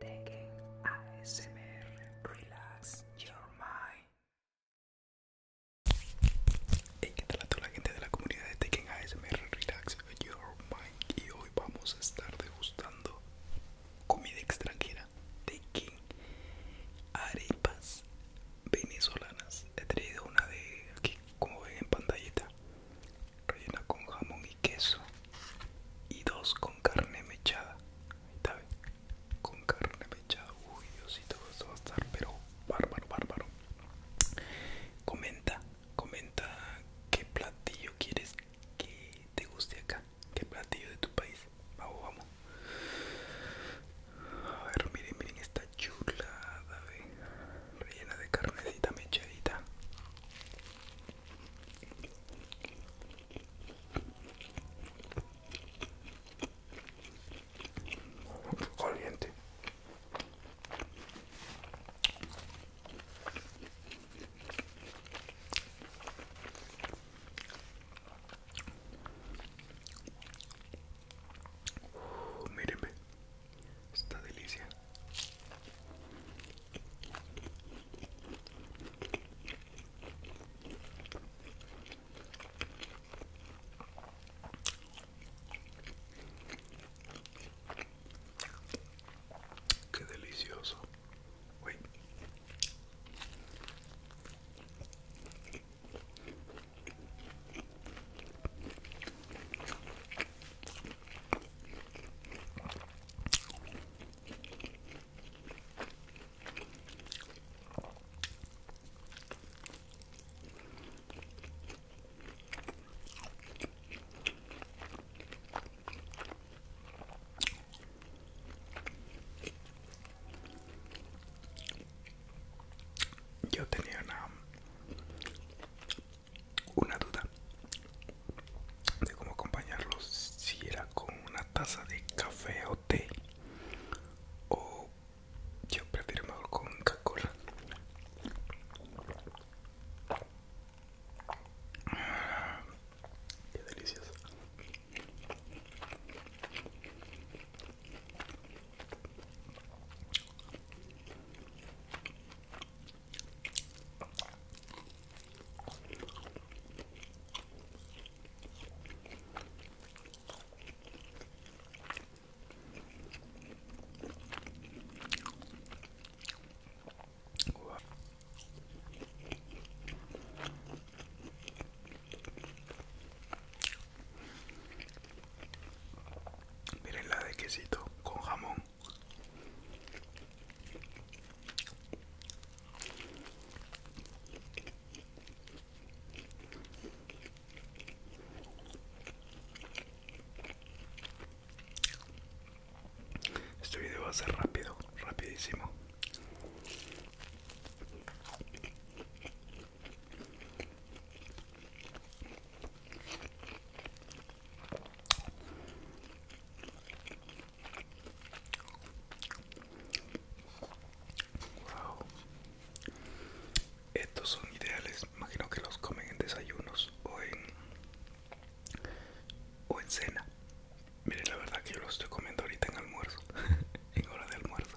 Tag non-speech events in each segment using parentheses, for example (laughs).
Taking ASMR, relax your mind. Hey, ¿qué tal a toda la gente de la comunidad de Taking ASMR, relax your mind? Y hoy vamos a estar degustando comida extranjera, quing arepas venezolanas. He traído una de aquí, como ven en pantallita, rellena con jamón y queso, y dos con carne mechada. con carne mechada. Uy, Diosito, esto va a estar, pero bárbaro, bárbaro. Comenta, comenta qué platillo quieres que te guste acá, que platillo de tu país. Vamos, vamos. A ver, miren, miren esta chulada, ¿ve? rellena de carnecita mechadita. Caliente. Míreme, Está delicia Qué delicioso. Uy. Yo tenía una, duda de cómo acompañarlo si era con una taza de café o té, o yo prefiero con coca Qué delicioso. Miren la de quesito con jamón. Este video va a ser rápido, rapidísimo. Estos son ideales, imagino que los comen en desayunos o en o en cena. Miren, la verdad que yo lo estoy comiendo ahorita en almuerzo, (laughs) en hora de almuerzo.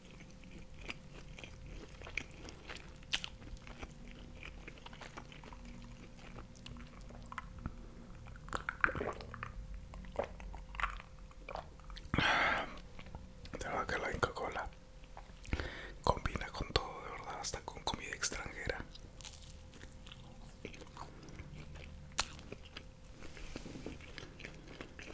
De verdad que la Cola combina con todo, de verdad, hasta con comida extranjera.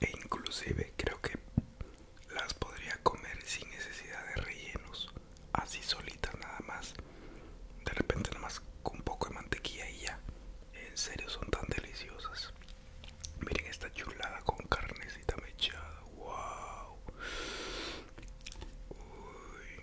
e inclusive creo que las podría comer sin necesidad de rellenos, así solitas nada más. De repente nada más con un poco de mantequilla y ya. En serio son tan deliciosas. Miren esta chulada con carnecita mechada. Wow. Uy.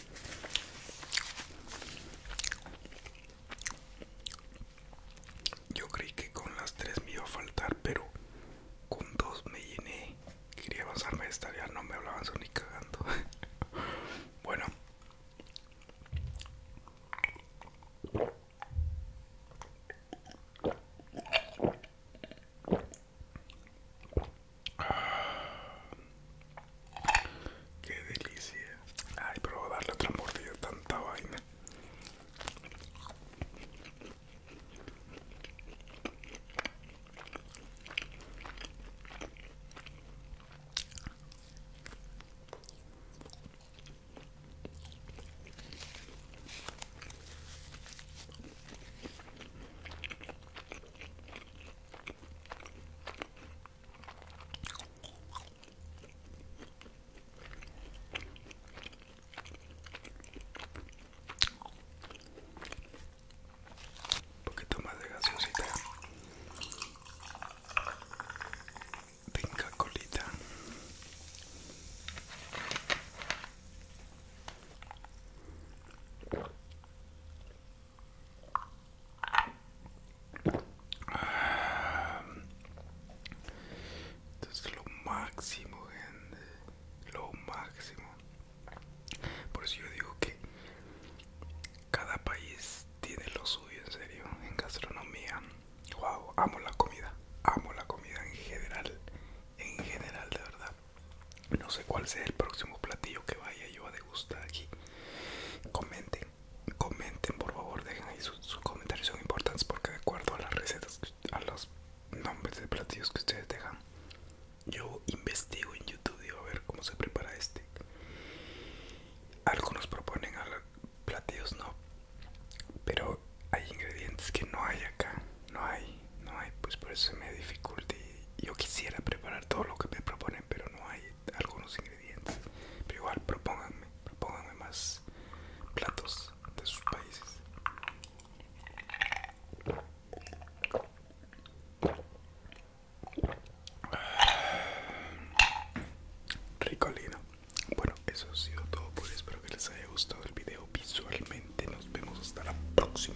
Yo creí que con las tres me iba a faltar, pero con dos me llené. Quería avanzarme esta, vida no me hablaban ni cagando. (laughs) bueno. Qué delicia. Ay, pero darle otra mordida tanta vaina. Un poquito más de gasosita Tenga colita entonces es lo máximo, gente. Lo máximo. Por eso yo digo que cada país tiene lo suyo, en serio, en gastronomía. Wow, amo la comida. Amo la comida en general en general de verdad no sé cuál sea el próximo platillo que vaya yo a degustar aquí comenten comenten por favor dejen ahí sus, comentarios son importantes porque de acuerdo a las recetas a los nombres de platillos que ustedes dejan yo investigo en youtube voy a ver cómo se prepara este algunos proponen platillos no pero hay ingredientes que no hay acá no hay, no hay, pues por eso me dificulta. Y yo quisiera preparar todo lo que me proponen, pero no hay algunos ingredientes. Pero igual, propónganme, propónganme más platos de sus países. Ricolino. Bueno, eso ha sido todo por Espero que les haya gustado el video visualmente. Nos vemos hasta la próxima.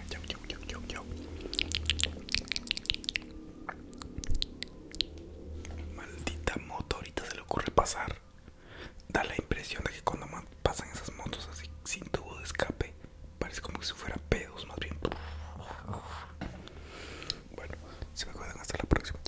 Maldita moto, ahorita se le ocurre pasar. Da la impresión de que cuando pasan esas motos así sin tubo de escape, parece como si fuera pedos, más bien. Bueno, se me acuerdan hasta la próxima.